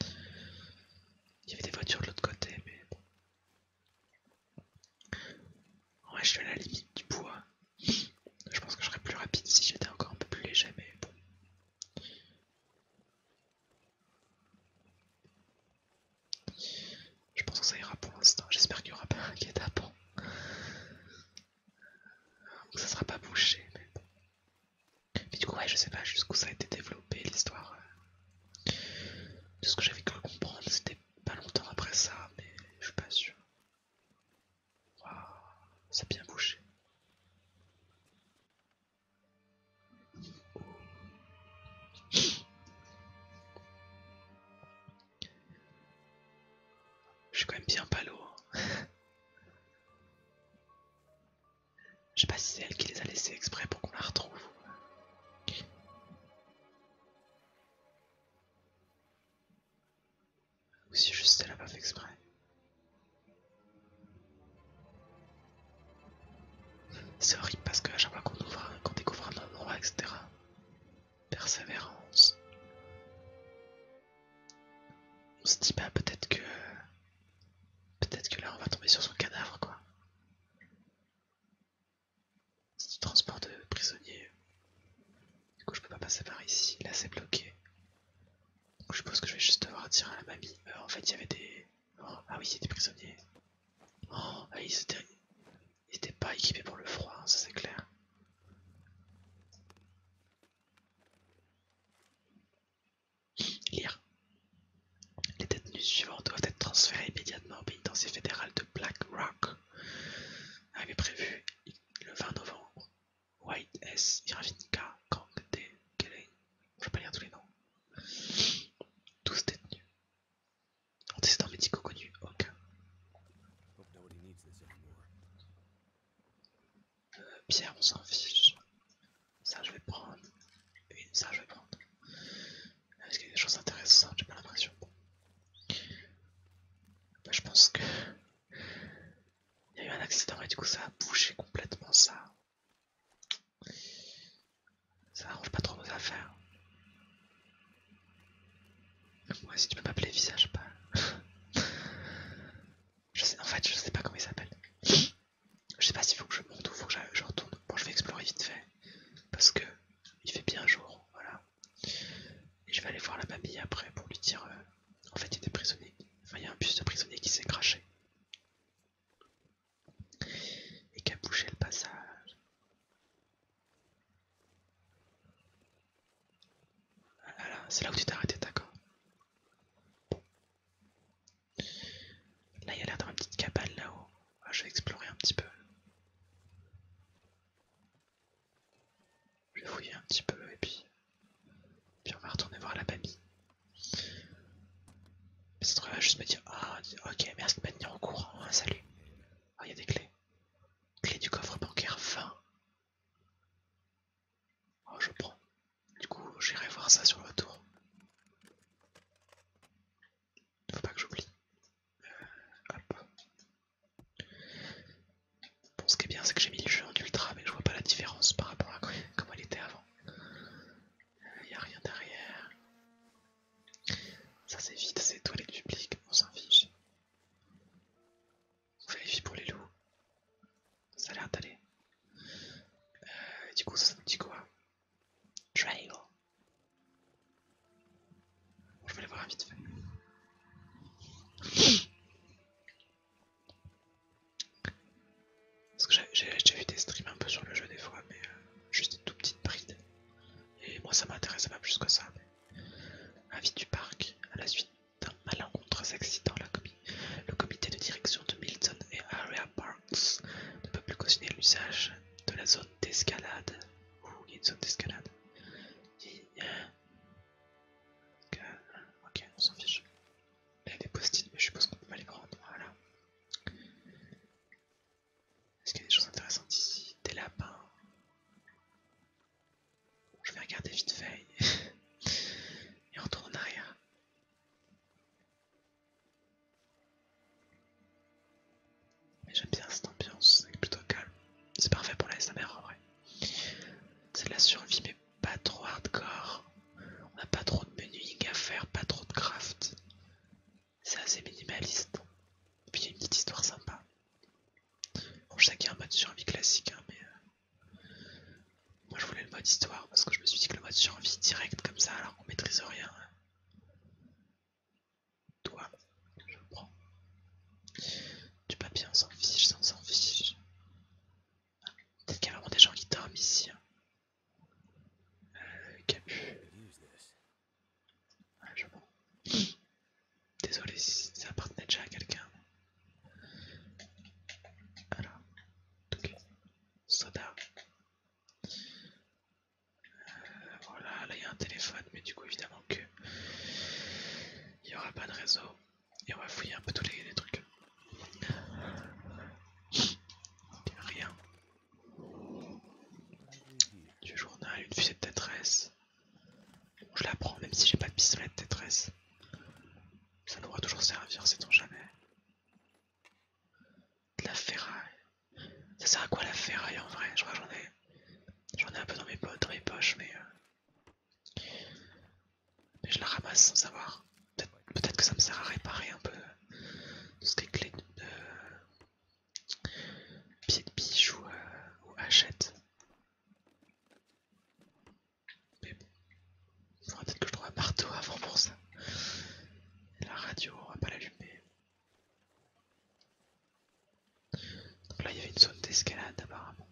Il y avait des voitures de l'autre côté, mais bon. Ouais, je suis à la limite du bois. Je pense que je serais plus rapide si j'étais encore un peu plus léger, mais bon. Je pense que ça ira pour l'instant. J'espère qu'il n'y aura pas un guet-apens. Ça sera pas bouché, mais bon. Mais du coup, je sais pas jusqu'où ça a été développé l'histoire. Euh. De ce que j'avais cru comprendre, c'était pas longtemps après ça, mais je suis pas sûr. Waouh, ça a bien bouché. Je suis quand même bien pas lourd. Hein. Je sais pas si c'est elle qui les a laissés exprès pour qu'on la retrouve. Ou si juste elle l'a pas fait exprès. C'est horrible parce que chaque fois qu'on ouvre, découvre un endroit, etc. Persévérance. On se dit bah, peut-être que Peut-être que là on va tomber sur son cadavre quoi. C'est du transport de prisonniers. Du coup je peux pas passer par ici, là c'est bloqué. je suppose que je vais juste devoir tirer à la mamie. Euh, en fait il y avait des... Oh, ah oui c'est des prisonniers. Oh, ah, ils, étaient... pas équipés pour le froid, hein, ça c'est clair. Lire. Les détenus suivants doivent être transférés immédiatement au pénitencier fédéral de Black Rock. avec prévu le 20 novembre. White S. Irvinica Kang D. Kelly. Je vais pas lire tous les noms. Tous détenus. Antécédents médicaux connus, aucun. Euh, Pierre, on s'en fiche. Ça je vais prendre. Et ça je vais prendre. Est-ce qu'il y a des choses intéressantes J'ai pas l'impression. Bah, je pense que. Il y a eu un accident et du coup ça a bougé complètement ça. Ça arrange pas trop nos affaires. Ouais, si tu peux m'appeler visage, pas. je sais, en fait, je sais pas comment il s'appelle. Je sais pas s'il faut que je monte ou faut que je retourne. Bon, je vais explorer vite fait parce que il fait bien jour, voilà. Et je vais aller voir la mamie après pour lui dire. Euh, en fait, il y a Enfin, il y a un bus de prisonnier qui s'est craché et qui a bouché le passage. Voilà, ah c'est là où tu t'es arrêté, d'accord. Là, il y a l'air d'avoir une petite cabane là-haut. Ah, je vais explorer un petit peu. Je vais fouiller un petit peu et puis, puis on va retourner voir la babi. Cette trop là juste me dire Ah, ok, merci de m'être mis au courant. Hein, salut. Ah, il y a des clés. Clé du coffre bancaire 20. Oh, ah, je prends. Du coup, j'irai voir ça sur le retour. Faut pas que j'oublie. Euh, hop. Bon, ce qui est bien, c'est que j'ai mis le jeu en ultra, mais je vois pas la différence par rapport à comment elle était avant. Il euh, a rien derrière. Ça c'est vide, c'est toilette publique, on s'en fiche. On filles pour les loups. Ça a l'air d'aller. Euh, du coup, ça nous dit quoi Trail. Je vais les voir vite fait. Parce que j'ai vu des streams un peu sur le jeu des fois, mais euh, juste une tout petite bride. Et moi ça m'intéresse pas plus que ça. Mais... Avis du parc, à la suite d'un malencontreux accident, la le comité de direction de Milton et Area Park on ne peut plus cautionner l'usage de la zone d'escalade. Ouh, il y a une zone d'escalade. Euh, ok, on s'en fiche. Il y a des post mais je suppose qu'on peut pas les prendre. Voilà. Est-ce qu'il y a des choses intéressantes ici Des lapins. Je vais regarder vite fait et on retourne en arrière. J'aime bien cette ambiance, c'est plutôt calme. C'est parfait pour la SMR en vrai. C'est de la survie mais pas trop hardcore. On n'a pas trop de menuing à faire, pas trop de craft. C'est assez minimaliste. Et puis il y a une petite histoire sympa. Bon je sais qu'il a un mode survie classique hein, mais euh, moi je voulais le mode histoire parce que je me suis dit que le mode survie direct comme ça alors qu'on maîtrise rien toi, je prends. Du papier, on s'en fiche, ça on s'en fiche. Peut-être qu'il y a vraiment des gens qui dorment ici. Hein. Euh, Capu. je prends. Désolé ça appartenait déjà à quelqu'un. Alors, ok. Soda. Euh, voilà, là il y a un téléphone, mais du coup évidemment que il n'y aura pas de réseau. Et on va fouiller un peu tous les, trucs. Rien. Du journal, une fusée de tétresse. je la prends même si j'ai pas de pistolet de détresse. Ça va toujours servir, c'est on jamais de la ferraille. Ça sert à quoi la ferraille en vrai Je crois j'en ai. J'en ai un peu dans mes, poches, mais. Euh, mais je la ramasse sans savoir. Peut-être que ça me sert à réparer un peu euh, tout ce qui est clé de. pied de biche ou, euh, hachette. Mais bon. peut-être que je trouve un marteau avant pour ça la radio, on va pas l'allumer. Donc là, il y avait une zone d'escalade apparemment.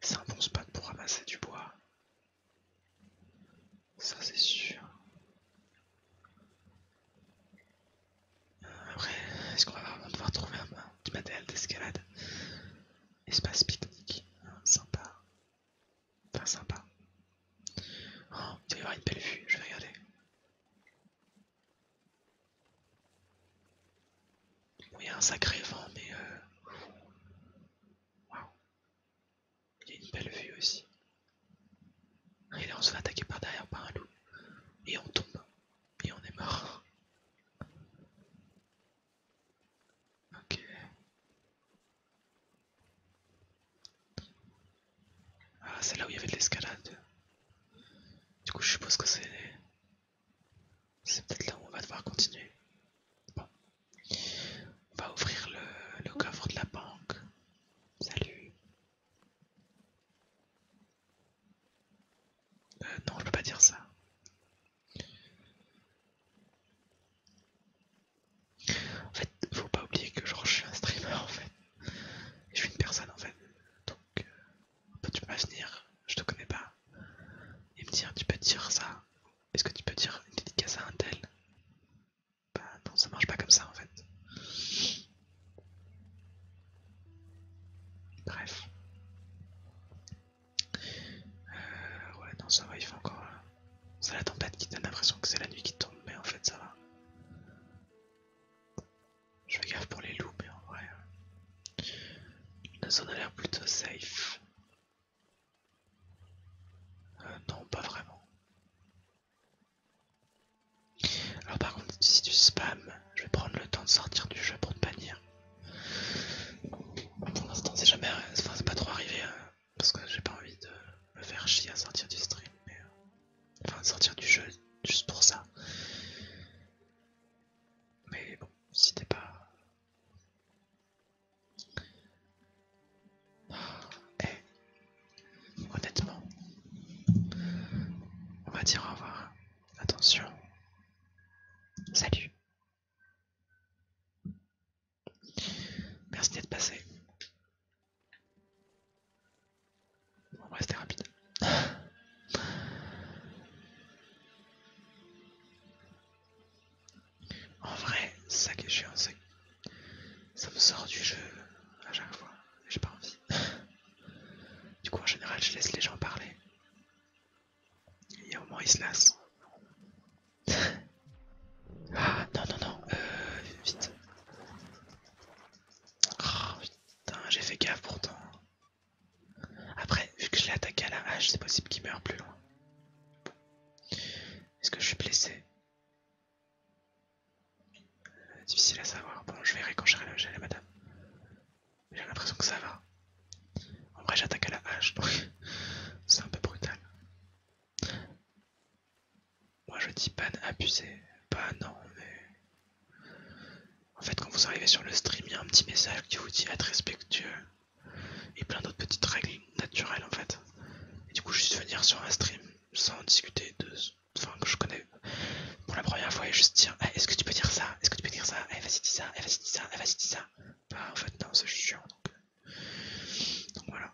C'est un bon spot pour ramasser du bois. Ça c'est sûr. Euh, après, est-ce qu'on va vraiment devoir trouver un, du matériel d'escalade Espace pique-nique, hein, sympa. Enfin, sympa. Oh, il y avoir une belle vue, je vais regarder. il y a un sacré vent, mais... Euh, waouh. Il y a une belle vue aussi. Et là, on se fait attaquer par derrière par un loup. Et on tombe. Et on est mort. Ok. Ah, c'est là où il y avait de l'escalade. Du coup, je suppose que c'est. C'est peut-être là où on va devoir continuer. Bon. On va ouvrir le, coffre de la banque. Salut. Euh, non, je peux pas dire ça. En fait, faut pas oublier que genre je suis un streamer en fait. je suis une personne en fait. Donc tu peux pas venir, je te connais pas. Et me dire tu peux dire ça. Est-ce que tu peux dire une dédicace à un tel Bah non ça marche pas comme ça en fait. Bref. Euh, ouais, non, ça va, il fait encore. Euh, c'est la tempête qui donne l'impression que c'est la nuit qui tombe, mais en fait, ça va. Je fais gaffe pour les loups, mais en vrai. Euh, la zone a l'air plutôt safe. non, pas vraiment. Alors, par contre, si tu spam, je vais prendre le temps de sortir du jeu pour te bannir. Pour l'instant, c'est jamais. c'est pas trop arrivé. Hein parce que j'ai pas envie de me faire chier à sortir du stream, euh, enfin de sortir du jeu juste pour ça. Mais bon, si t'es pas... Eh, honnêtement, on va dire au revoir. Attention. Salut. Merci d'être passé. On va rester rapide. en vrai, ça qui est chiant, c'est ça me sort du jeu à chaque fois. J'ai pas envie. du coup, en général, je laisse les gens parler. Et au moins, ils se lassent. Ah non, non, non, euh, vite. Ah, putain, j'ai fait gaffe pourtant. Après, vu que je l'ai attaqué à la hache, c'est possible qu'il meure plus loin. Est-ce que je suis blessé euh, Difficile à savoir. Bon, je verrai quand à la madame. J'ai l'impression que ça va. En vrai, j'attaque à la hache, donc c'est un peu brutal. Moi je dis pas abusé. pas non, mais. En fait, quand vous arrivez sur le stream, il y a un petit message qui vous dit être respectueux et plein d'autres petites règles naturelles en fait. Et du coup, juste venir sur un stream sans discuter de. Enfin, que je connais pour la première fois et juste dire eh, Est-ce que tu peux dire ça Est-ce que tu peux dire ça Eh, vas-y, dis ça. Eh, vas-y, dis ça. Eh, vas-y, dis ça. Bah, en fait, non, c'est chiant donc. Euh. Donc voilà.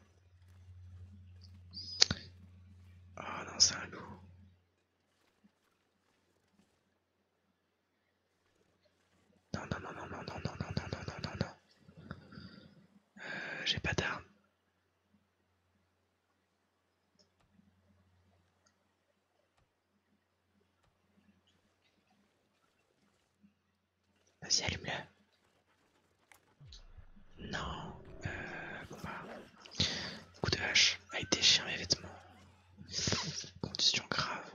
Oh non, c'est un loup. Non, non, non, non, non, non, non, non, non, non, non, non. Euh, J'ai pas d'armes. Vas-y, allume-le. Non. Euh, bon Coup de hache. a il déchire mes vêtements. Condition grave.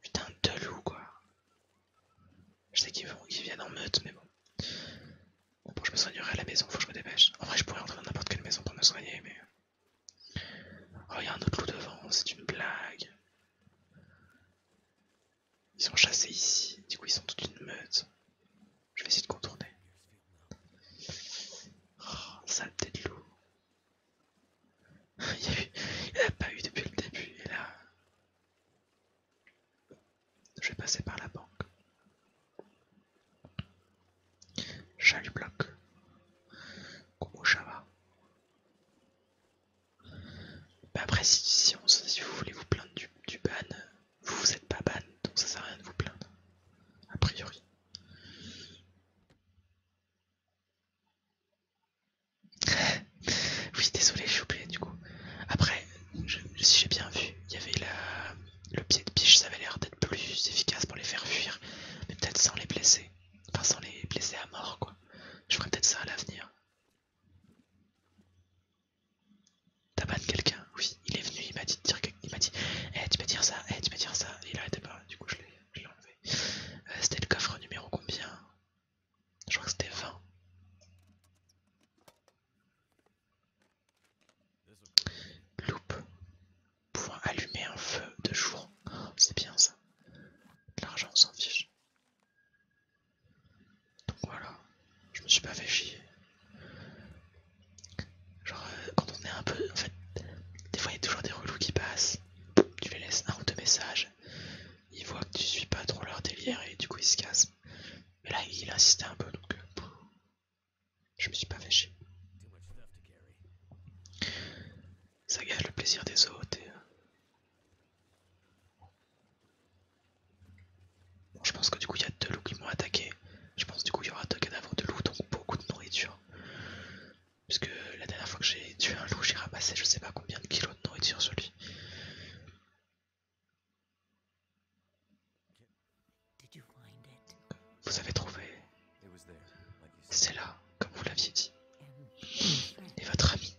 Putain de loup quoi. Je sais qu'ils viennent en meute, mais bon. Bon, Je me soignerai à la maison, faut que je me dépêche. En vrai, je pourrais rentrer dans n'importe quelle maison pour me soigner, mais. Oh, il y a un autre loup devant, c'est une blague. Ils sont chassés ici, du coup ils sont toute une meute. Je vais essayer de contourner. Oh, saleté de loup. Il n'y a, pas eu depuis le début, Je vais passer par la banque. le bloc. va? Bah après, si, vous voulez vous plaindre du, ban, euh, vous vous êtes pas ban, donc ça sert à rien de vous plaindre, a priori. oui, désolé, j'ai oublié du coup. Après, si j'ai bien vu, il y avait le pied de biche, ça avait l'air d'être plus efficace pour les faire fuir, mais peut-être sans les blesser, enfin sans les blesser à mort quoi. Je ferai peut-être ça à l'avenir, Taban quelqu'un, oui, il est venu, il m'a dit il m'a dit Eh tu peux dire ça, eh tu peux dire ça, il arrêtait pas, du coup je l'ai enlevé. Euh, c'était le coffre numéro combien Je crois que c'était 20. Loupe. Pouvoir allumer un feu de jour. C'est bien ça. L'argent on s'en fiche. Donc voilà, je me suis pas fait chier. Genre, euh, quand on est un peu. En fait, des fois il y a toujours des relous qui passent. Tu les laisses un ou deux messages. Ils voient que tu suis pas trop leur délire et du coup ils se cassent. Mais là, il insisté un peu donc. Euh, je me suis pas fait Ça gâche le plaisir des autres euh, je pense que du coup il y a deux loups qui m'ont attaqué. Je pense du coup il y aura deux cadavres de loups, donc beaucoup de nourriture. Puisque la dernière fois que j'ai tué un loup, j'ai ramassé je sais pas combien de kilos de nourriture sur lui. Vous avez trouvé C'est là, comme vous l'aviez dit. Et votre ami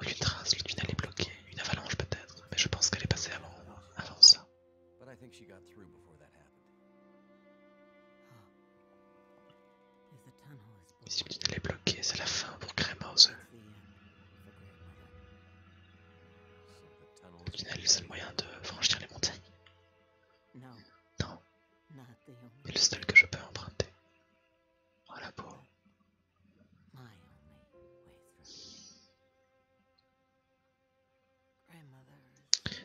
aucune oh, trace, le tunnel est bloqué, une avalanche peut-être, mais je pense qu'elle est passée avant, ça. si le tunnel est bloqué, c'est la fin pour Kremhauser. Le tunnel est le seul moyen de franchir les montagnes. Non. mais le seul que je peux emprunter. Oh la peau.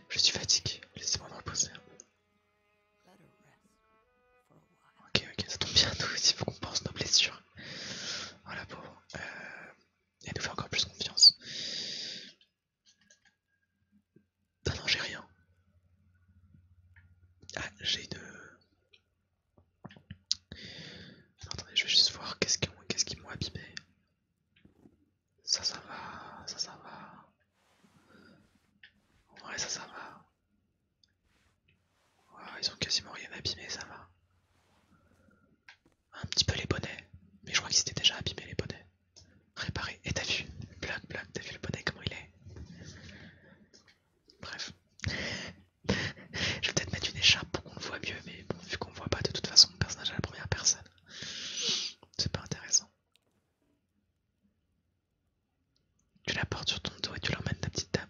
Je suis fatigué, laissez-moi me reposer Ok, ok, ça tombe bien, nous aussi, faut qu'on pense nos blessures. Voilà, oh, pauvre. Euh, elle nous fait encore plus confiance. Ah non, j'ai rien. Ah, j'ai une attendez, je vais juste voir qu'est-ce qu'ils m'ont abîmé. Ça, ça va, ça, ça va. Ouais, ça, ça va. ils ont quasiment rien abîmé, ça va. Un petit peu les bonnets, mais je crois qu'ils étaient déjà abîmés les bonnets. Réparé, et t'as vu, blague, blague, t'as vu le bonnet comment il est Bref. Je vais peut-être mettre une écharpe pour qu'on le voit mieux, mais vu qu'on ne voit pas de toute façon le personnage à la première personne, c'est pas intéressant. Tu la portes sur ton dos et tu l'emmènes ta petite dame.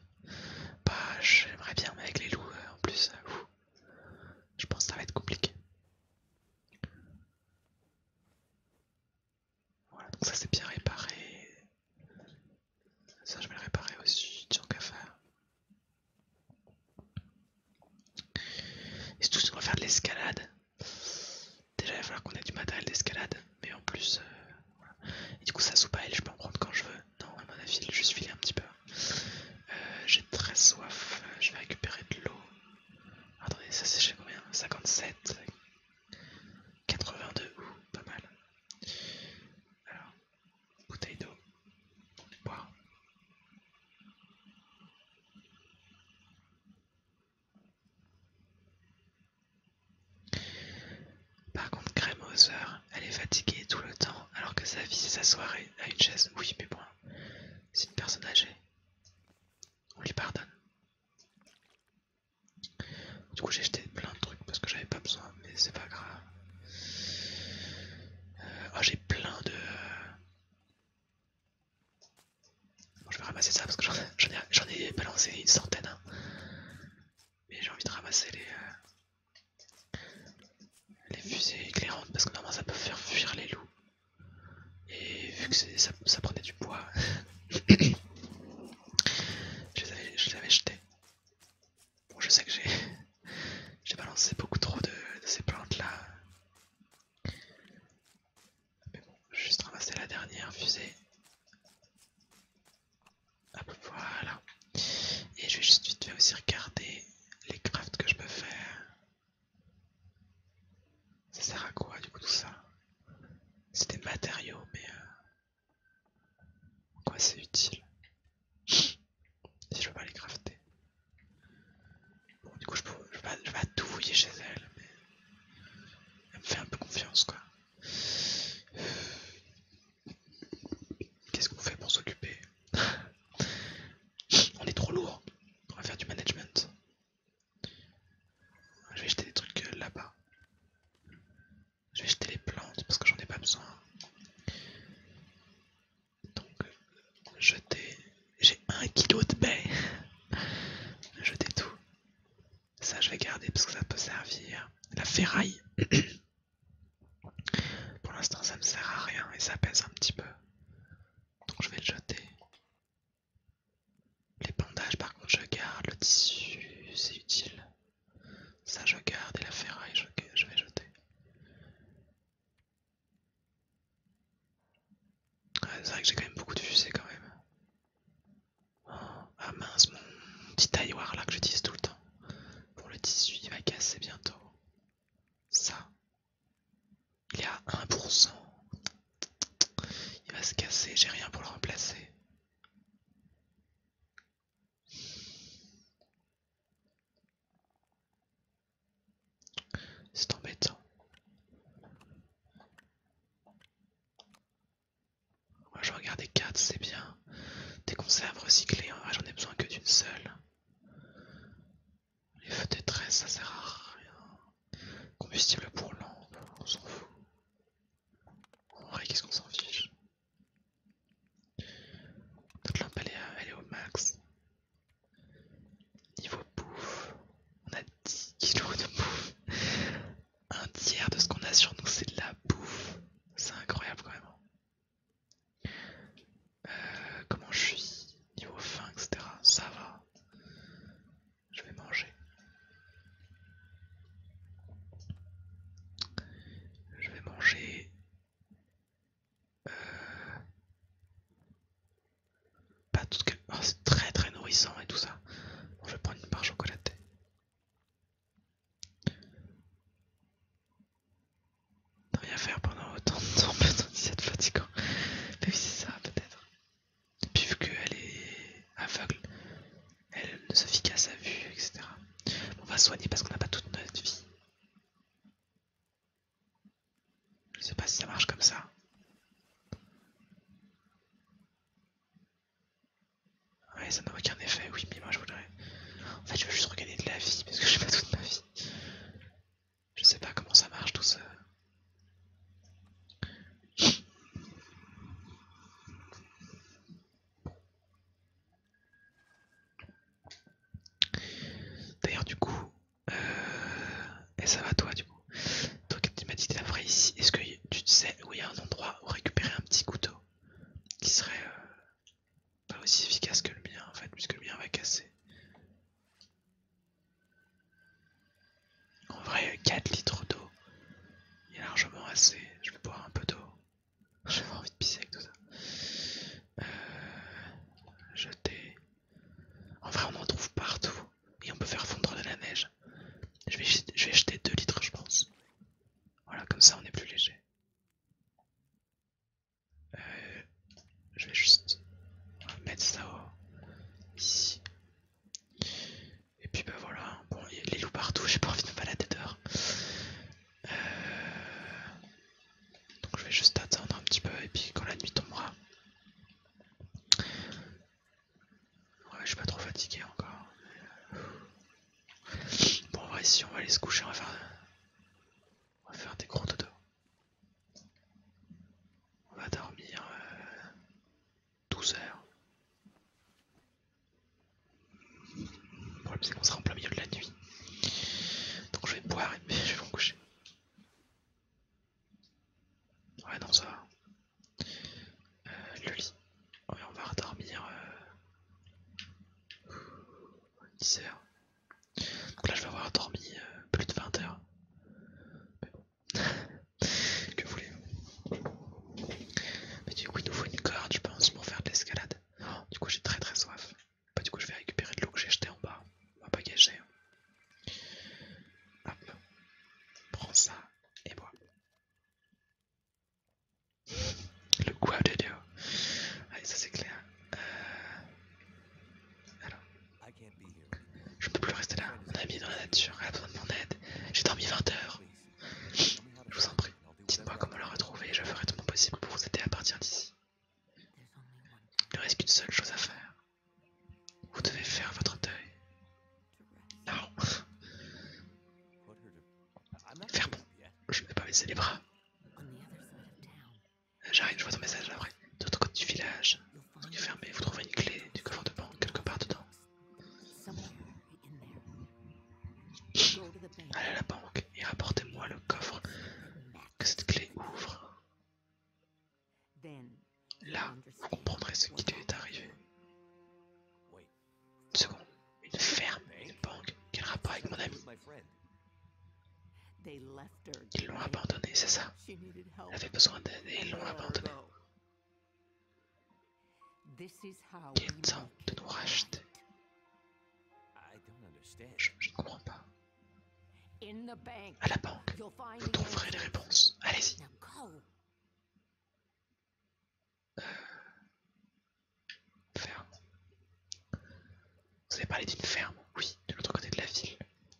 Bah, j'aimerais bien, mais avec les loups euh, en plus, euh, je pense que ça va être compliqué. Voilà, donc ça c'est bien réparé. Ça je vais le réparer aussi, tiens qu'à faire. Et surtout on va faire de l'escalade. Déjà il va falloir qu'on ait du matériel d'escalade, mais en plus... Euh, Et du coup ça soupe à elle, je peux en prendre quand je veux. Non, à mon avis, il juste filé un petit peu. Euh, j'ai très soif, je vais récupérer de l'eau. Attendez, ça c'est chez combien 57 82, ou pas mal. Alors, bouteille d'eau, on boire. Par contre, Crème elle est fatiguée tout le temps, alors que sa vie, c'est sa à une chaise. Oui, mais bon, c'est une personne âgée. On lui pardonne. Du coup, j'ai jeté plein de trucs parce que j'avais pas besoin, mais c'est pas grave. Euh, oh, j'ai plein de. je vais ramasser ça parce que j'en ai, balancé une centaine. Hein. Mais j'ai envie de ramasser euh, les, fusées éclairantes parce que normalement ça peut faire fuir les loups. Et vu que ça, prenait du poids, je je les avais jetés. Bon, je sais que j'ai balancé beaucoup trop de, ces plantes là. Mais bon, je vais juste ramasser la dernière fusée. Hop, voilà. Et je vais juste vite fait aussi regarder les crafts que je peux faire. Ça sert à quoi du coup tout ça C'est des matériaux, mais euh, Quoi, c'est utile. Si je veux pas les crafter. Bon, du coup, je, peux, vais, tout fouiller chez elle, mais elle me fait un peu confiance quoi. Qu'est-ce qu'on fait pour s'occuper On est trop lourd, on va faire du management. Je vais jeter des trucs euh, là-bas. Je vais jeter les plantes parce que j'en ai pas besoin. Donc, euh, jeter. J'ai un kilo de baies. jeter tout. Ça, je vais garder parce que ça peut servir. La ferraille. Pour l'instant, ça ne sert à rien et ça pèse un petit peu. Donc, je vais le jeter. Les bandages, par contre, je garde. Le tissu, c'est utile. Ça je garde et la ferraille je, vais jeter. c'est vrai que j'ai quand même beaucoup de fusées quand même. ah mince, mon petit tailloir là que j'utilise tout le temps. Pour le tissu, il va casser bientôt. Ça. Il est à 1%. Il va se casser, j'ai rien pour le remplacer. C'est embêtant. Moi je des 4, c'est bien. Des conserves recyclées, hein. ah, j'en ai besoin que d'une seule. Les feux de détresse, ça sert à rien. Combustible pour lampe, on s'en fout. En vrai, qu'est-ce qu'on s'en fiche Notre lampe, euh, elle est, au max. Niveau bouffe, on a 10 kilos de bouffe. Un tiers de ce qu'on a sur nous, c'est de la bouffe. C'est incroyable quand même. Hein. Euh, comment je suis Niveau faim, etc. Ça va. Je vais manger. Je vais manger euh, pas tout ce que oh, c'est très très nourrissant et tout ça. je vais prendre une barre chocolatée. rien faire pendant autant de temps, peut-être c'est fatigant. Mais oui, c'est ça peut-être. Puisque puis vu qu'elle est aveugle, elle ne se fit qu'à sa vue, etc. On va soigner parce qu'on n'a pas toute notre vie. Je sais pas si ça marche comme ça. Ouais, ça n'a aucun effet, oui, mais moi je voudrais. En fait, je veux juste regarder de la vie parce que j'ai pas toute ma vie. Je sais pas comment ça marche tout ça. D'ailleurs, du coup, euh, et ça va toi, du coup. Toi, tu m'as dit la ici. Est-ce que tu sais où il y a un endroit où récupérer un petit couteau qui serait euh, pas aussi efficace que le mien en fait, puisque le mien va casser. En vrai, 4 litres d'eau, il y largement assez. Je vais boire un peu d'eau pas envie de pisser avec tout ça. Euh, jeter. En vrai, on en trouve partout et on peut faire fondre de la neige. Je vais, jeter 2 litres, je pense. Voilà, comme ça on est plus léger. Euh, je vais juste mettre ça ici. Et puis bah voilà, bon, les loups partout, j'ai pas envie de me balader dehors. Donc je vais juste attendre un petit peu et puis quand la nuit tombera. Ouais, je suis pas trop fatigué encore. Bon, si on va aller se coucher, on va faire, des gros dodo. On va dormir 12 euh, heures. Le problème c'est qu'on sera en plein milieu de la nuit. Donc je vais boire et je vais m'en coucher. Ouais non ça va. le euh, lit. Ouais, on va redormir euh... 10 h Donc là je vais avoir dormi euh, plus de 20 heures. que voulez-vous Mais du coup il nous faut une corde je pense pour faire de l'escalade. Du coup j'ai très très soif. Bah, du coup je vais récupérer de l'eau que j'ai jetée en bas. On va pas gâcher. Hop. Prends ça et bois. Le quoi, de Dieu. Allez ça c'est clair. Euh, alors. Je peux plus rester là. Mon ami dans la nature, elle a besoin de mon aide. J'ai dormi 20 heures. Je vous en prie. Dites-moi comment le retrouver et je ferai tout mon possible pour vous aider à partir d'ici. Il ne reste qu'une seule chose à faire. Vous devez faire votre deuil. Non. Faire bon. Je ne vais pas baisser les bras. J'arrive, je vois ton message après. De l'autre côté du village, vous trouverez une clé du coffre de banque quelque part dedans. Allez à la banque et rapportez-moi le coffre que cette clé ouvre. Là, vous comprendrez ce qui lui est arrivé. Une seconde, une ferme, une banque, quel rapport avec mon ami Ils l'ont abandonné, c'est ça Elle avait besoin d'aide et ils l'ont abandonnée. Quel temps de nous racheter. Je, ne comprends pas. À la banque, vous trouverez les réponses. Allez-y. Euh, ferme. Vous avez parlé d'une ferme Oui, de l'autre côté de la ville.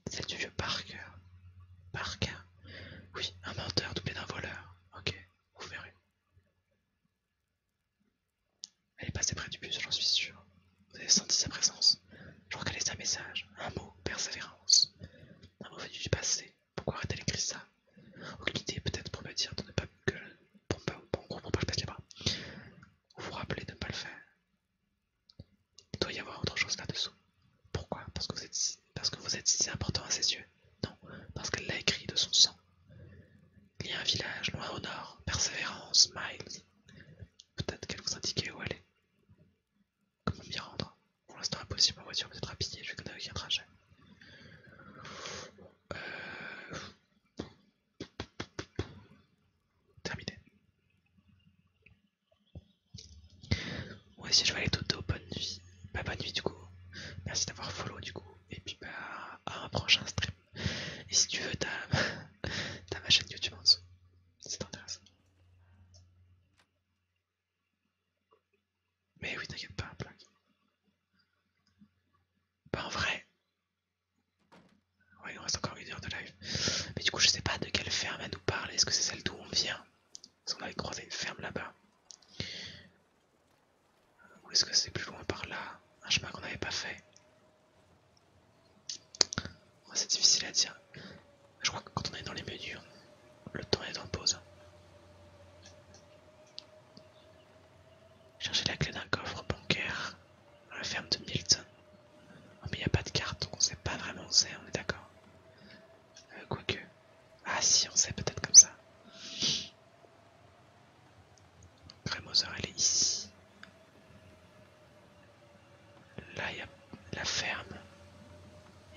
Celle du vieux Parker. Parker Oui, un menteur doublé d'un voleur. Ok, vous verrez. Elle est passée près du bus, j'en suis sûr. Vous avez senti sa présence. Je crois qu'elle un message, un mot, persévérance. Un mot venu du passé. Pourquoi aurait-elle écrit ça Aucune idée, peut-être pour me dire de ne pas que je, pas, pas vous rappelez de ne pas le faire. Il doit y avoir autre chose là-dessous. Pourquoi Parce que vous êtes parce que vous êtes si important à ses yeux. Non, parce qu'elle l'a écrit de son sang. Il y a un village loin au nord, Persévérance, Miles. Peut-être qu'elle vous indique où aller. Comment m'y rendre Pour l'instant impossible, ma voiture peut être à pied, je eu un trajet. Euh, terminé. moi aussi je vais aller Toto, bonne nuit. pas bah, bonne nuit du coup. Merci d'avoir follow du coup. Et puis, bah, à un prochain stream. Et si tu veux, t'as ma chaîne YouTube en dessous. C'est intéressant. Mais oui, t'inquiète pas, Pas en vrai. Ouais, il nous reste encore une heure de live. Mais du coup, je sais pas de quelle ferme elle nous parle. Est-ce que c'est celle d'où on vient Parce qu'on avait croisé une ferme là-bas. Ou est-ce que c'est plus loin par là Un chemin qu'on n'avait pas fait oh, C'est difficile à dire. Je crois que quand on est dans les menus, le temps est en pause. Chercher la clé d'un coffre bancaire dans la ferme de Milton. Oh, mais il n'y a pas de carte, donc on ne sait pas vraiment où c'est, on est d'accord. Euh, quoique. Ah si, on sait peut-être comme ça. Cremozard elle est ici. Là il y a la ferme.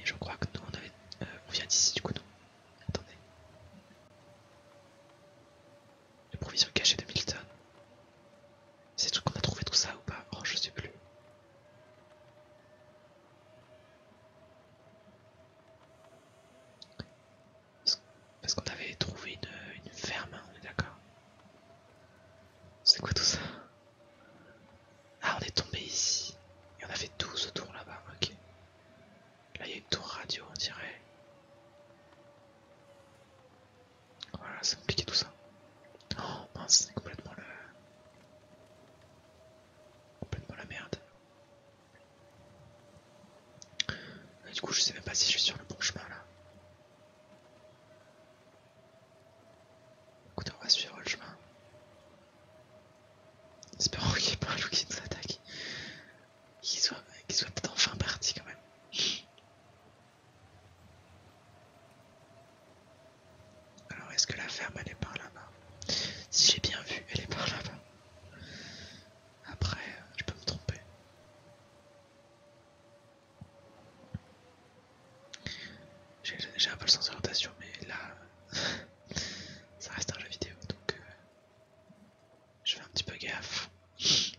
Et je crois que nous on euh, vient d'ici du coup non. Attendez. Les provisions cachées de Milton. C'est tout qu'on a trouvé tout ça ou pas Oh je sais plus. Parce qu'on avait trouvé une, ferme, hein, on est d'accord. C'est quoi tout ça Ah, on est tombé ici. Et on a fait 12 tours là-bas, ok. Là, il y a une tour radio, on dirait. Voilà, c'est compliqué tout ça. Oh mince, c'est complètement le. Complètement la merde du coup, je sais même pas si je suis sur le bon chemin là. Écoutez, on va suivre le chemin. Espérons qu'il n'y ait pas un loup qui nous attaque. Qu'il soit, soit peut-être enfin parti quand même. Alors, est-ce que la ferme elle est par là-bas Si j'ai bien vu, elle est par là-bas. Après, euh, je peux me tromper. J'ai un peu le sens de l'orientation, mais là, ça reste un jeu vidéo, donc euh, je fais un petit peu gaffe.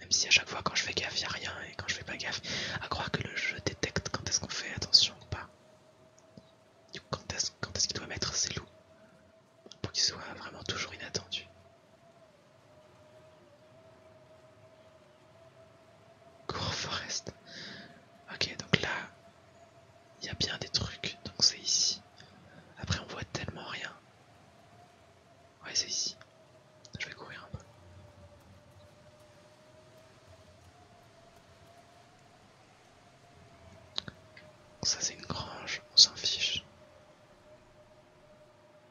Même si à chaque fois quand je fais gaffe, il a rien, et quand je fais pas gaffe, à croire que le jeu détecte quand est-ce qu'on fait attention ou pas. Du quand est-ce qu'il doit mettre ses loups pour qu'il soit vraiment toujours inattendu. Cours Forest. Ok, donc là, il y a bien des trucs, donc c'est ici. Après, on voit tellement rien. Ouais, c'est ici. Je vais courir un peu. Ça c'est une grange, on s'en fiche.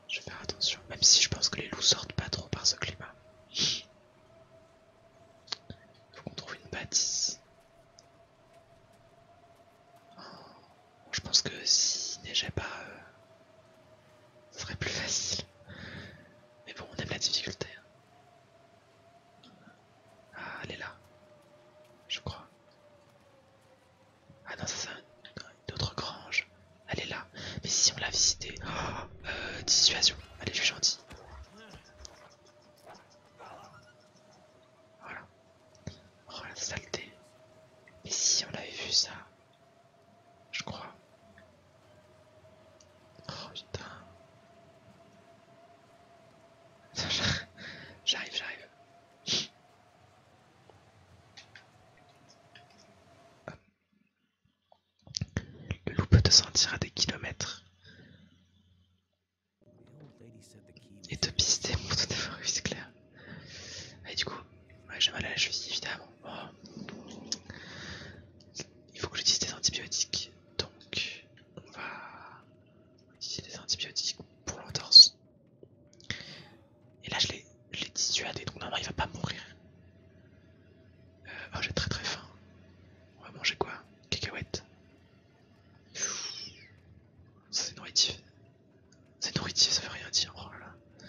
Je vais faire attention, même si je pense que les loups sortent pas trop par ce climat. Faut qu'on trouve une bâtisse. Oh, je pense que s'il neigeait pas, euh, ce serait plus facile. Mais bon, on aime la difficulté. Hein. Ah, elle est là, je crois. Ah non, ça c'est une autre grange. Elle est là. Mais si on l'a visité. Oh, euh, dissuasion. Allez, je suis gentil. Voilà. Oh la saleté. Mais si on l'avait vu ça. Je crois. Oh putain. J'arrive, j'arrive. Le loup peut te sentir à des kilomètres et te pister, mon tout à oui, c'est clair. Et du coup, j'ai mal à la cheville, évidemment. Oh. Il faut que j'utilise des antibiotiques, donc on va utiliser des antibiotiques pour l'entorse. Et là je l'ai dissuadé, donc normalement il va pas mourir. Euh, oh j'ai très très faim. On va manger quoi Cacahuètes. C'est nourritif. C'est nourritif, ça veut rien dire. Oh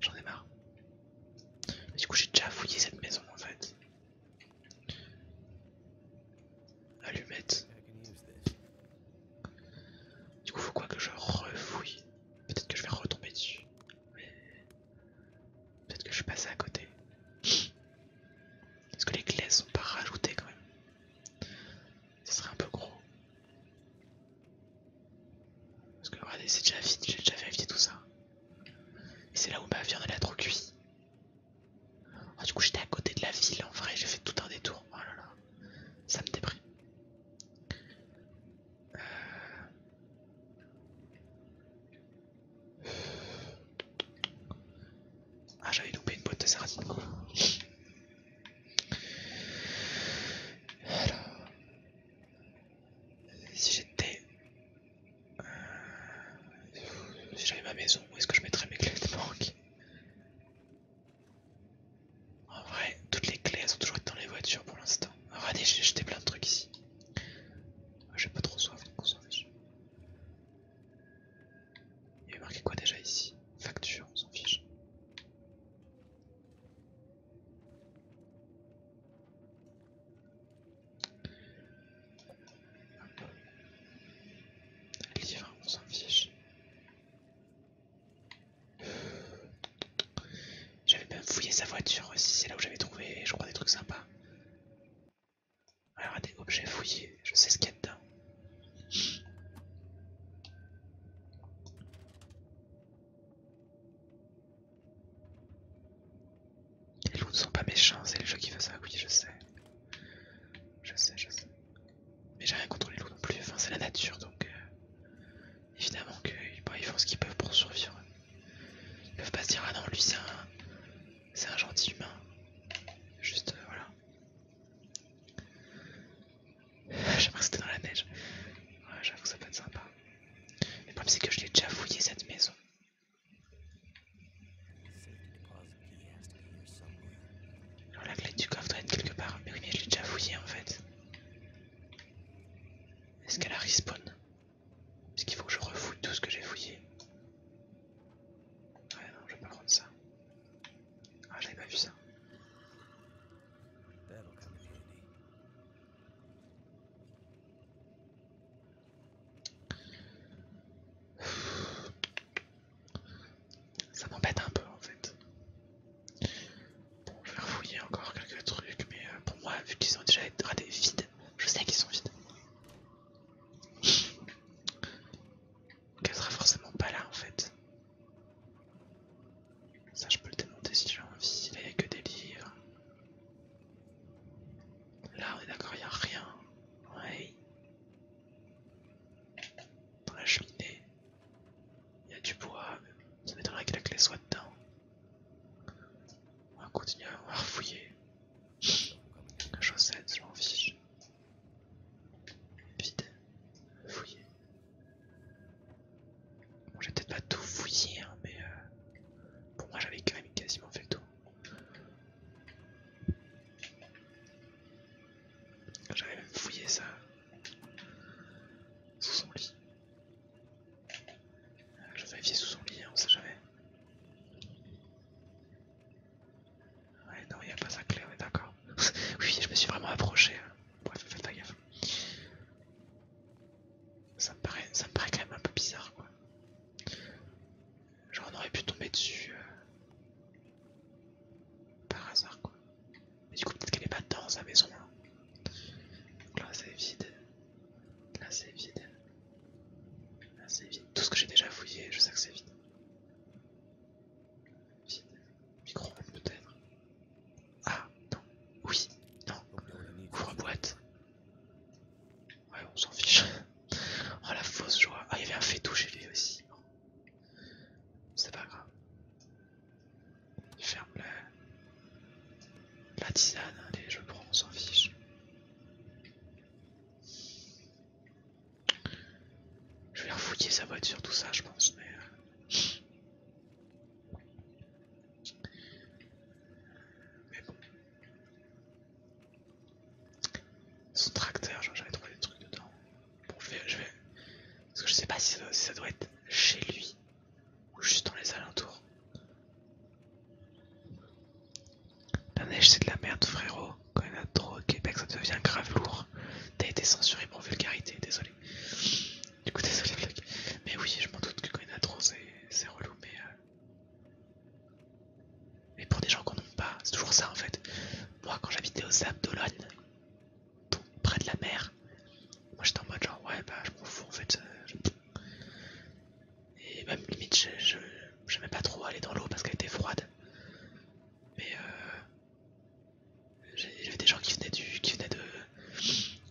J'en ai marre. du coup j'ai déjà fouillé cette maison en fait. Allumette. Du coup faut quoi que je refouille Peut-être que je vais retomber dessus. Peut-être que je suis passé à côté. Est-ce que les glaces sont pas rajoutées quand même Ce serait un peu gros. Parce que regardez, c'est déjà vite, j'ai déjà vérifié tout ça. Et c'est là où ma viande elle a trop cuit. Ah, du coup j'étais à côté de la ville en vrai, j'ai fait tout un détour. Oh là là, ça me déprime. Ah j'avais loupé une boîte de sardines Alors, si j'étais... Euh, si j'avais ma maison, où est-ce que je mettrais mes clés de banque en vrai, toutes les clés elles sont toujours dans les voitures pour l'instant. Regardez, j'ai jeté plein de trucs ici. Ah, j'ai pas trop soif, donc on s'en fiche. Il y a marqué quoi déjà ici Facture, on s'en fiche. Livre, on s'en fiche. J'avais même fouillé sa voiture aussi, c'est là où j'avais trouvé, je crois, des trucs sympas. Alors, des objets fouillés, je sais ce qu'il y a dedans. Les loups ne sont pas méchants, c'est le jeu qui fait ça, oui, je sais. Je sais, je sais. Mais j'ai rien contre les loups non plus, enfin, c'est la nature donc. Euh, évidemment qu'ils font ce qu'ils peuvent pour survivre. Ils peuvent pas se dire ah non lui c'est un c'est un gentil humain. Juste euh, voilà. J'aimerais que c'était dans la neige. Ouais j'avoue ça peut être sympa. Le problème c'est que je l'ai déjà fouillé cette maison. Alors la clé du coffre doit être quelque part. Mais oui mais je l'ai déjà fouillé en fait. Est-ce qu'elle a respawn Parce qu'il faut que je refouille tout ce que j'ai fouillé. Ouais, non, je vais pas prendre ça. Ah, j'avais pas vu ça. Ça m'embête un peu en fait je vais fouiller encore quelques trucs, mais euh, pour moi, vu qu'ils ont déjà vides, je sais qu'ils sont vides. Qu'elle sera forcément pas là en fait. Ça, je peux le démonter si j'ai envie. il n'y a que des livres. Là, on est d'accord, il n'y a rien. Ouais. Dans la cheminée, il y a du bois, ça m'étonnerait que la clé soit dedans. On va continuer à fouiller. La chaussette, je m'en fiche. Vide. Fouiller. Bon, j'ai peut-être pas tout fouillé, hein, mais euh, pour moi j'avais quand même quasiment fait tout. J'avais même fouillé ça sous son lit. Je vais vérifier sous son lit, on sait jamais. Ouais, non, il n'y a pas sa clé, ouais d'accord. oui, je me suis vraiment approché. Hein. Bref, faites pas gaffe. Ça me, paraît, ça paraît quand même un peu bizarre, quoi. Genre, on aurait pu tomber dessus euh, par hasard, quoi. Mais du coup, peut-être qu'elle est pas dans sa maison. Donc hein. là, c'est vide. Là, c'est vide. Là, c'est vide. Tout ce que j'ai déjà fouillé, je sais que c'est vide. Vide. micro peut-être. Ah, non. Oui, non. Ouvre-boîte. Ouais, on s'en fiche. oh, la fausse joie. Ah, il y avait un fétou chez lui aussi. C'est pas grave. Ferme la, la tisane, allez, je prends, on s'en fiche. Je vais refouiller sa voiture, tout ça, je pense, mais. Euh. Mais Son tracteur, j'avais trouvé des trucs dedans. Bon, je vais. Je Parce que je sais pas si ça doit être chez lui ou juste dans les alentours. La neige c'est de la merde frérot, quand il a trop au Québec ça devient grave lourd. T'as été censuré pour vulgarité, désolé. Du coup désolé Mais oui je m'en doute que quand il a trop c'est relou euh, mais... pour des gens qu'on n'aime pas, c'est toujours ça en fait. Moi quand j'habitais aux Sable près de la mer, moi j'étais en mode genre ouais bah je m'en fous en fait. Euh, et même limite j'aimais je, pas trop aller dans l'eau parce qu'elle était froide. Mais euh, il des gens qui venaient du, qui venaient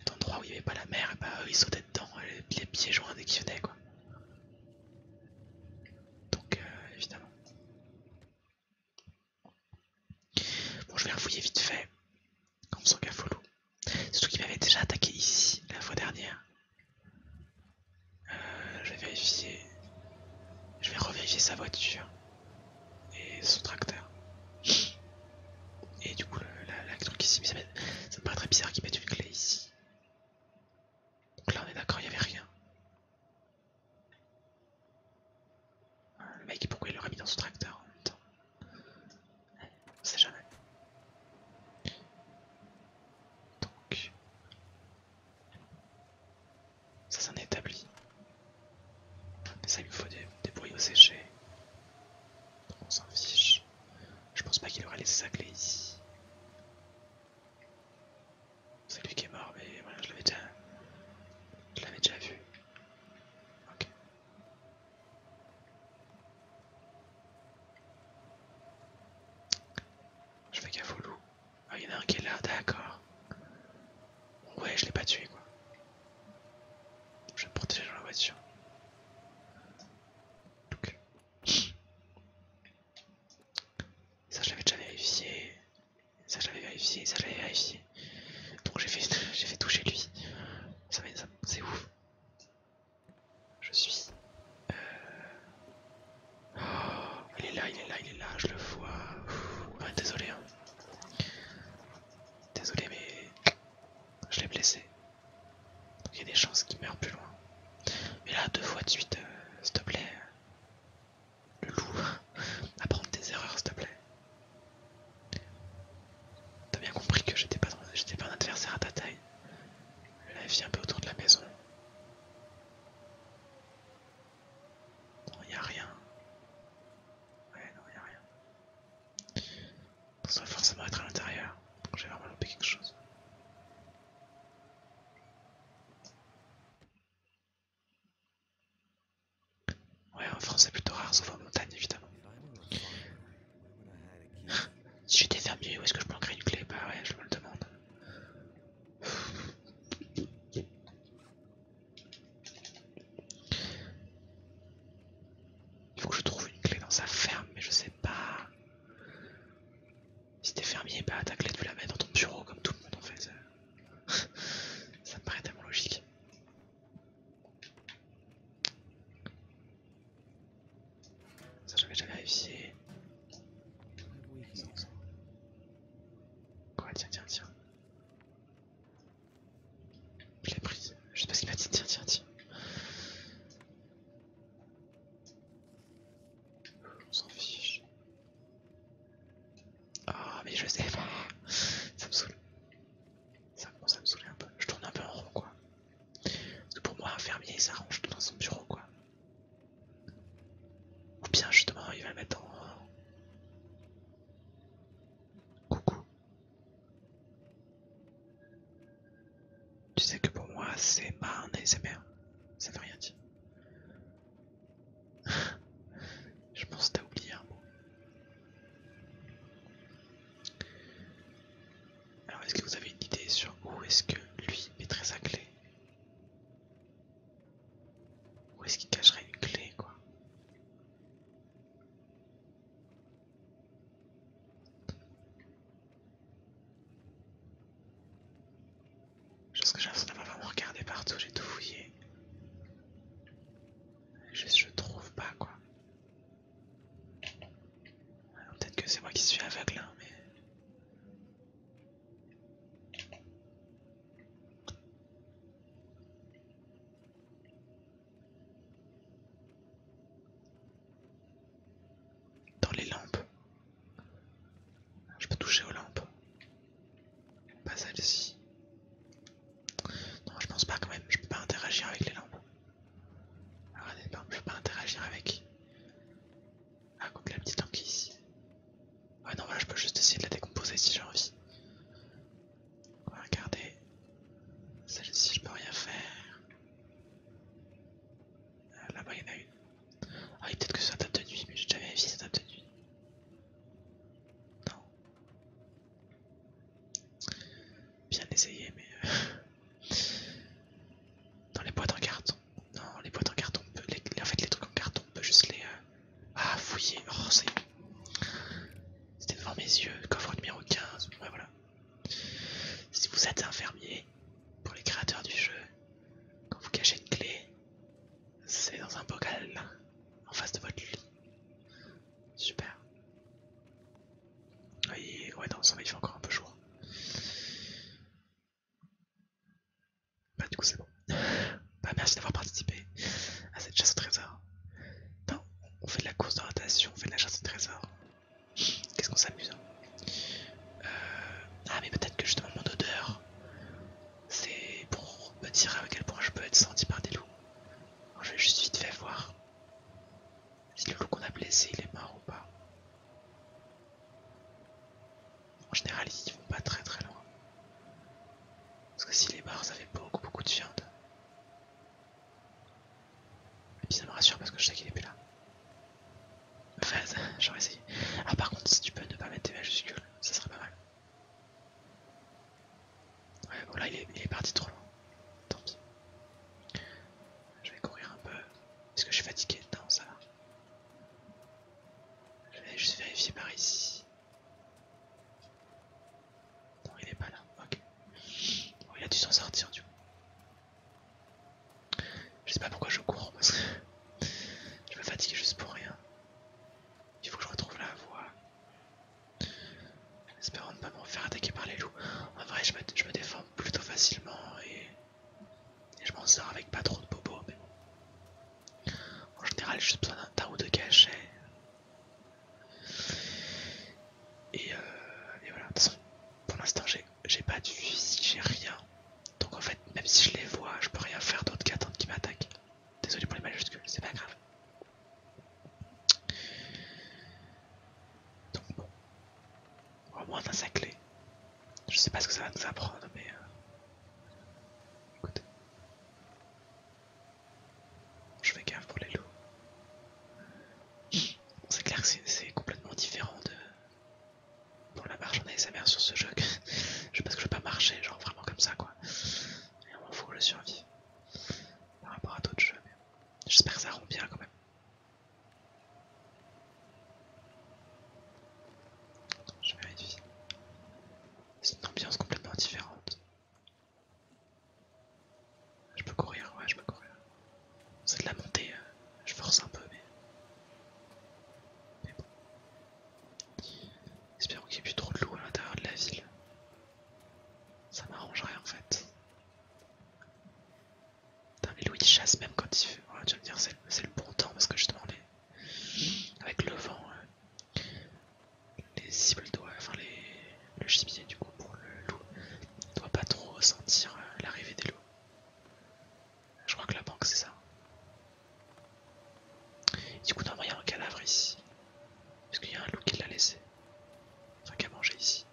d'endroits où il n'y avait pas la mer et bah ils sautaient dedans les, euh, les pieds joints et qui venaient quoi. Donc euh, évidemment. Bon je vais refouiller vite fait. Comme son gafolou. Surtout qu'il m'avait déjà attaqué ici la fois dernière. Euh, je vais vérifier. Je vais revérifier sa voiture et son tracteur. Et du coup, la, truc ici, ça, me paraît très bizarre qu'il mette une clé ici. Donc là, on est d'accord, il n'y avait rien. Euh, le mec, pourquoi il l'aurait mis dans son tracteur en même temps on sait jamais. Donc. Ça c'est un établi. ça il faut des, bruits au séchés. On s'en fiche. Je pense pas qu'il aurait laissé sa clé ici. C'est lui qui est mort, mais je l'avais déjà... Je l'avais déjà vu. Ok. Je fais gaffe au loup. Ah, il y en a un qui est là, d'accord. Ouais, je l'ai pas tué quoi. Je vais me protéger dans la voiture. Donc. Ça, je l'avais déjà vérifié. Ça, je l'avais vérifié. Ça, je l'avais vérifié. Donc, j'ai fait, toucher lui. Ça, ça c'est ouf. Je suis. Oh, il est là, il est là, il est là, je le vois. Ah, désolé. Hein. Désolé, mais je l'ai blessé. il y a des chances qu'il meure plus loin. Mais là, deux fois de suite, euh, s'il te plaît. Le loup, apprendre tes erreurs, s'il te plaît. T'as bien compris que j'étais pas, un adversaire à ta taille. Là, vient un peu autour de la maison. Non, y a rien. Ouais, non, y a rien. Ça doit forcément être à l'intérieur. J'ai vraiment loupé quelque chose. Ouais, en France c'est plutôt rare, sauf en montagne évidemment. Si j'étais fermier, où est-ce que je peux créer une clé Bah ouais, je me le demande. Il faut que je trouve une clé dans sa ferme, mais je sais pas. Si t'es fermier, bah ta clé tu la mets dans ton bureau comme tout le monde en fait. Ça me paraît tellement logique. Ça j'avais jamais réussi. Quoi, tiens, tiens, tiens. Je l'ai prise. Je sais pas qu'il m'a dit. Tiens, tiens, tiens. On s'en fiche. Ah, mais je sais pas. Ça me saoule. Ça, commence à me saouler un peu. Je tourne un peu en rond, quoi. Parce pour moi, un fermier, il s'arrange tout dans son bureau, quoi. Ou bien, justement, il va mettre en... Coucou. Tu sais que pour moi, c'est pas un ASMR. Ça veut rien dire. Je pense que t'as oublié un mot. Alors est-ce que vous avez une idée sur où est-ce que lui mettrait sa clé Où est-ce qu'il cacherait une clé quoi pense que j'ai l'impression d'avoir vraiment regardé partout, j'ai tout fouillé. je trouve pas quoi. Peut-être que c'est moi qui suis aveugle, hein, mais... Dans les lampes. Je peux toucher aux lampes. Pas celle-ci. Non, je pense pas quand même. Je peux pas interagir avec les lampes. Alors elle je pas interagir avec. Ah contre la petite tankie. ici. Ah non voilà je peux juste essayer de la décomposer si j'ai envie. On va regarder. Celle-ci je peux rien faire. Euh, là-bas il y en a une. Ah peut-être que ça date de nuit mais n'ai jamais vu ça date de nuit. Non. Bien essayé, mais... Euh, dans les boîtes en carton. Non, les boîtes en carton, on peut... En fait, les trucs en carton, on peut juste les... Euh, ah, fouiller. Oh, C'était devant mes yeux. Coffre numéro 15. Ouais, voilà. Si vous êtes un fermier, pour les créateurs du jeu, quand vous cachez une clé, c'est dans un bocal, en face de votre lit. Super. Oui, ouais non ça il fait encore un peu chaud. Hein. Bah du coup c'est bon. Bah merci d'avoir participé à cette chasse au trésor. on fait de la course d'orientation, on fait de la chasse au trésor. Qu'est-ce qu'on s'amuse hein euh, Ah mais peut-être que justement mon odeur c'est pour me dire à quel point je peux être senti par des loups. je vais juste vite fait voir si le loup qu'on a blessé il est mort ou pas. En général, ils vont pas très très loin. Parce que s'il est mort, ça fait beaucoup beaucoup de viande. Et puis ça me rassure parce que je sais qu'il est plus là. 13, j'aurais essayé. Ah, par contre, si tu peux ne pas mettre tes majuscules, ça serait pas mal. Ouais, bon là, il est parti trop loin. Tant pis. Je vais courir un peu. Est-ce que je suis fatigué Non, ça Je vais juste vérifier par ici. Non, il est pas là. Ok. il a dû s'en sortir du coup. Je sais pas pourquoi je cours je me fatigue juste pour rien. Il faut que je retrouve la voie. En espérant ne pas me faire attaquer par les loups. En vrai, je me, je me défends plutôt facilement et, je m'en sors avec pas trop de bobos. Mais En général, j'ai juste besoin d'un tas ou de cachets. Et, euh, voilà, pour l'instant, j'ai pas de fusil, j'ai rien. Donc en fait, même si je les vois, je peux rien faire d'autre qu'attendre qu'ils m'attaquent. Désolé pour les majuscules, c'est pas grave. Donc bon, au moins dans sa clé. Je sais pas ce que ça va nous apprendre, mais... Euh, écoute, Je fais gaffe pour les loups. c'est clair que c'est complètement différent de... Pour la marche en mère sur ce jeu. je sais pas ce que je veux pas marcher, genre vraiment comme ça, quoi. Et on m'en fout, je survie. Par rapport à d'autres jeux, mais... J'espère que ça rend bien, quand même. Je vérifie. C'est une ambiance complètement différente. Je peux courir, ouais, je peux courir. C'est de la montée, euh, je force un peu, mais. Mais bon. Espérons qu'il n'y ait plus trop de loup à l'intérieur de la ville. Ça m'arrangerait en fait. Les loups, Louis chasse même quand il fait. Oh, tu dire, c'est le bon temps parce que justement, avec le vent, euh, les cibles doivent. Enfin, les... le gibier, du coup, pour le loup, ne doit pas trop ressentir euh, l'arrivée des loups. Je crois que la banque, c'est ça. du coup, t'as il y un cadavre ici. Parce qu'il y a un loup qui l'a laissé. Enfin, qui a mangé ici.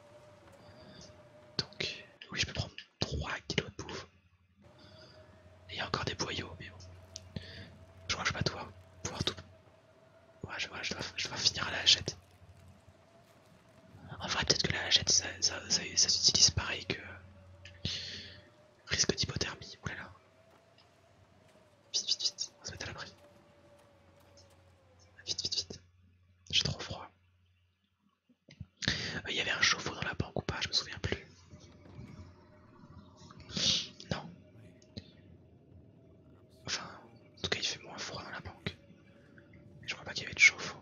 Donc, oui, je peux prendre 3 kilos de bouffe. Et il y a encore des boyaux, mais bon. Je crois que je vais pas pouvoir, tout. Ouais, je, vois je, dois, finir à la hachette. En vrai, peut-être que la hachette ça, s'utilise pareil que. Risque d'hypothermie, oulala. Vite, vite, vite, on va se mettre à l'abri. Vite, vite, vite. J'ai trop froid. Euh, il y avait un chauffe-eau dans la banque ou pas, je me souviens plus. Non. Enfin, en tout cas, il fait moins froid dans la banque. je crois pas qu'il y avait de chauffe-eau.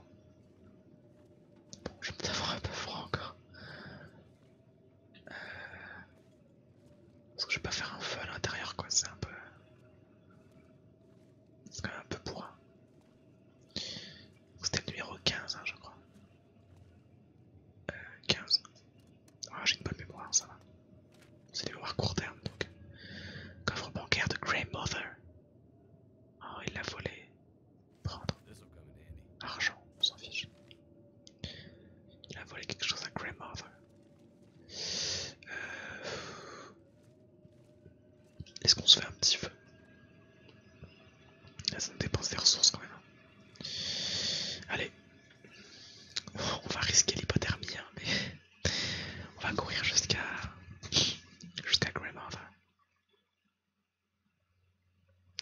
Bon, je vais peut un peu froid encore. Euh, parce que je vais pas faire un feu à l'intérieur, quoi, c'est un peu. C'est quand même un peu pour. C'était le numéro 15, hein, je crois. Euh, 15. Ah, j'ai une bonne mémoire, ça va. C'est des mémoires court terme donc. Coffre bancaire de grandmother ah, Oh, il l'a volé. Prendre. Argent, on s'en fiche. Il a volé quelque chose à Grey Euh, est-ce qu'on se fait un petit feu Là, ça nous dépense des ressources quand même. Allez, on va risquer l'hypothermie, hein, mais on va courir jusqu'à jusqu'à hein.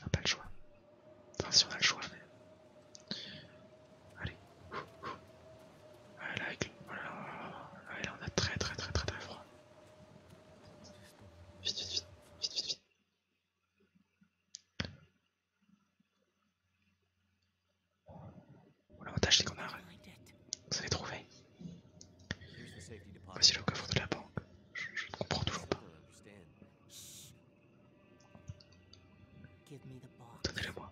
On n'a pas le choix. Enfin, si on a le choix, mais. Allez, là, on a très, très, très, très, très froid. Vite, vite, vite, vite, vite, L'avantage c'est qu'on a... Vous avez trouvé Voici le coffre de la banque. je ne comprends toujours pas. Donnez-le moi.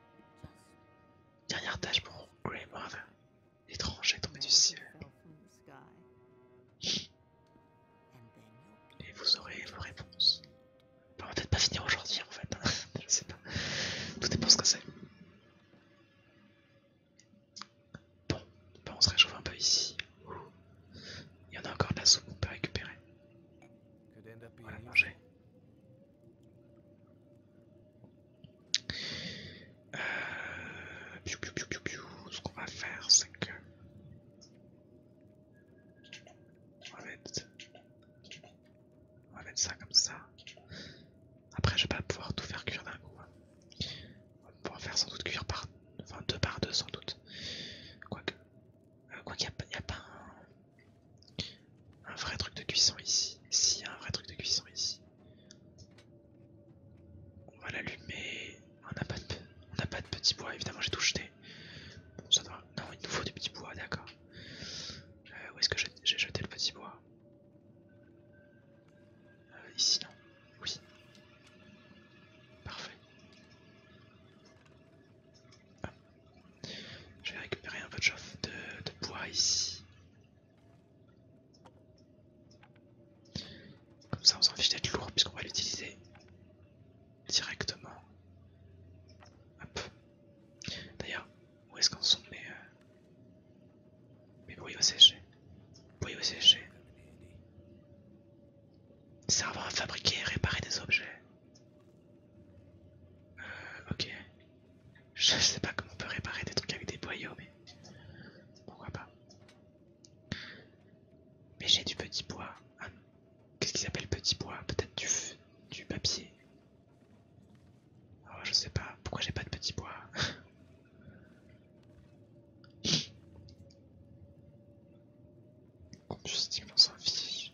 Dernière tâche pour étrange L'étranger tombé du ciel. Et vous aurez vos réponses. on va peut-être pas finir aujourd'hui en fait. Je sais pas. Tout dépend ce que c'est. Bon, bon, on se réchauffe un peu ici. Il y en a encore de la soupe qu'on peut récupérer. On va manger. Euh, Ce qu'on va faire, c'est que on va, mettre... ça comme ça. Après, je vais pas pouvoir tout faire cuire d'un coup. Hein. On va pouvoir faire sans doute cuire par, enfin deux par deux sans doute. Quoique, euh, Quoique quoi pas un vrai truc de cuisson ici. Si, un vrai truc de cuisson ici. On va l'allumer. On n'a pas, de... petit bois, évidemment, j'ai tout jeté. ça doit... Non, il nous faut du petit bois, d'accord. Euh, où est-ce que j'ai jeté le petit bois euh, Ici, non Oui. Parfait. Je vais récupérer un peu de, de, bois ici. Comme ça on s'en fiche d'être lourd puisqu'on va l'utiliser directement. D'ailleurs, où est-ce qu'en sont mes, euh, mes brouilles OCG au OCG. Servant à fabriquer et réparer des objets. Euh, ok. Je sais pas comment on peut réparer des trucs avec des boyaux, mais pourquoi pas. Mais j'ai du petit bois. Ah, qu'est-ce qu'ils appellent petit bois Peut-être du, du papier. Oh, je sais pas. Pourquoi j'ai pas de petit bois Combustible, ça s'en fiche.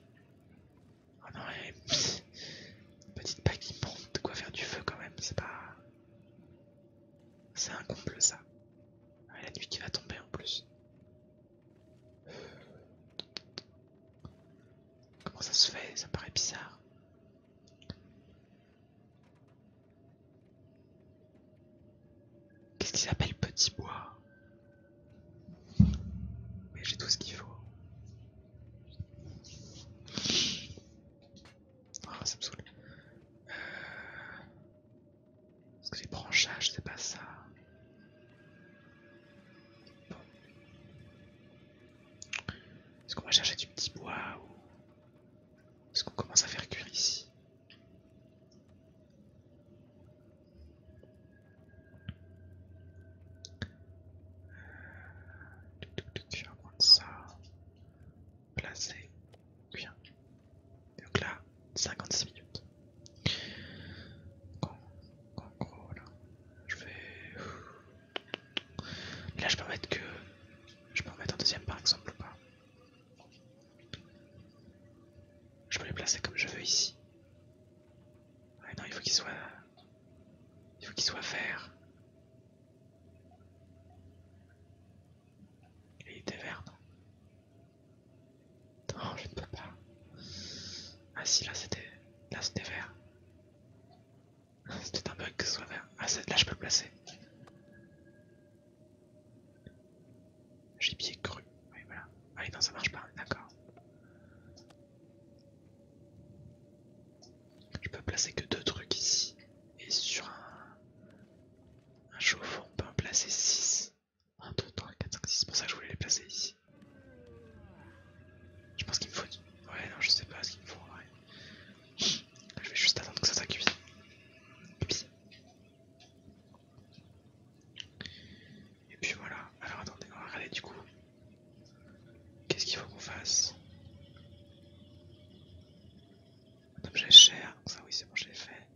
Oh non, et... Eh, petite paille qui monte, de quoi faire du feu quand même, c'est pas... C'est un comble ça. Ah, la nuit qui va tomber en plus. Comment ça se fait Ça paraît bizarre. Qu'est-ce qu'ils appellent petit bois mais j'ai tout ce qu'il faut. Ah, ça me saoule. Euh, est-ce que les branchages, c'est pas ça. Est-ce qu'on va chercher du petit bois ou. Est-ce qu'on commence à faire cuire ici je vais prendre ça. Placer. Bien. Donc là, 56 minutes. En, là, je vais. Là, je peux mettre que. Je peux mettre un deuxième par exemple ou pas. Je peux les placer comme je veux ici. Ah non, il faut qu'ils soient il faut qu'il soit vert. il était vert, non Non, je ne peux pas. Ah si, là c'était... Là c'était vert. C'était un bug que ce soit vert. Ah là je peux le placer. J'ai pied cru. Oui, voilà. Ah non, ça marche pas, d'accord. Je peux placer que deux trucs ici. Et sur un, chauffeur on peut en placer 6. 1, 2, 3, 4, 5, 6. C'est pour ça que je voulais les placer ici. Je pense qu'il me faut. Ouais, non, je sais pas ce qu'il me faut. Je vais juste attendre que ça s'accuse. Et puis voilà. Alors attendez, on va regarder du coup. Qu'est-ce qu'il faut qu'on fasse Un objet cher, ça oui c'est bon, j'ai fait.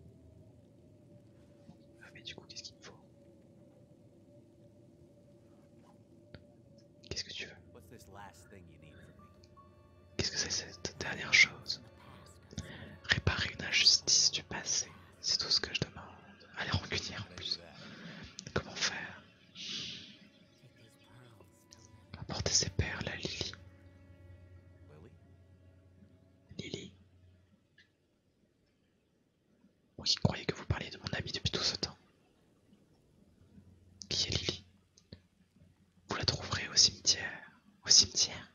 Ah, mais du coup, qu'est-ce qu'il me faut Qu'est-ce que tu veux Qu'est-ce que c'est cette dernière chose Réparer une injustice du passé, c'est tout ce que je demande. Allez recueillir en plus. Comment faire Apportez ces perles à Lily. Lily Oui, croyez que vous parliez de mon ami depuis tout ce temps. Qui est Lily Vous la trouverez au cimetière. Au cimetière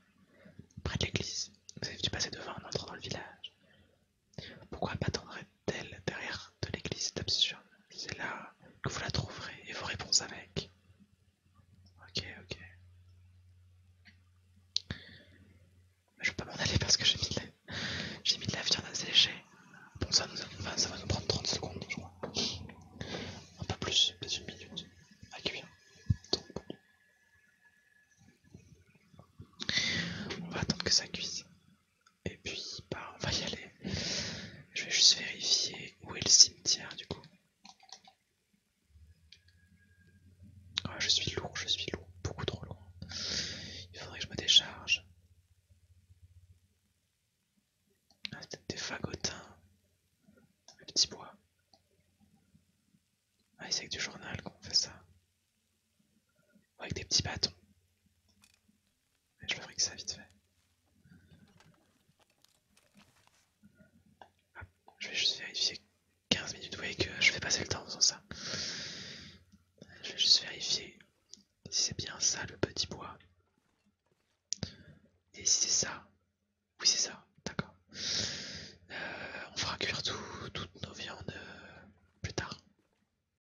Près de l'église. Vous avez dû passer devant en entrant dans le village. Pourquoi m'attendrait-elle derrière de l'église absurde, C'est là que vous la trouverez et vos réponses avec. Ok, ok. Je peux m'en aller parce que j'ai mis de la, j'ai mis la viande assez sécher. Bon, ça, ça va nous prendre 30 secondes, je crois. Un peu plus, plus une minute à cuire. on va attendre que ça cuise. Et puis, bah, on va y aller. Je vais juste vérifier où est le cimetière du coup. Ah, je suis lourd, je suis lourd, beaucoup trop lourd. Il faudrait que je me décharge. Ah, c'est peut-être des fagotins. Des petit bois. Ah, c'est avec du journal qu'on fait ça. Avec des petits bâtons. je je que ça vite fait. je vais juste vérifier 15 minutes. Vous voyez que je vais passer le temps en faisant ça. Je vais juste vérifier si c'est bien ça le petit bois. Et si c'est ça, oui c'est ça, d'accord. Euh, on fera cuire toutes nos viandes euh, plus tard.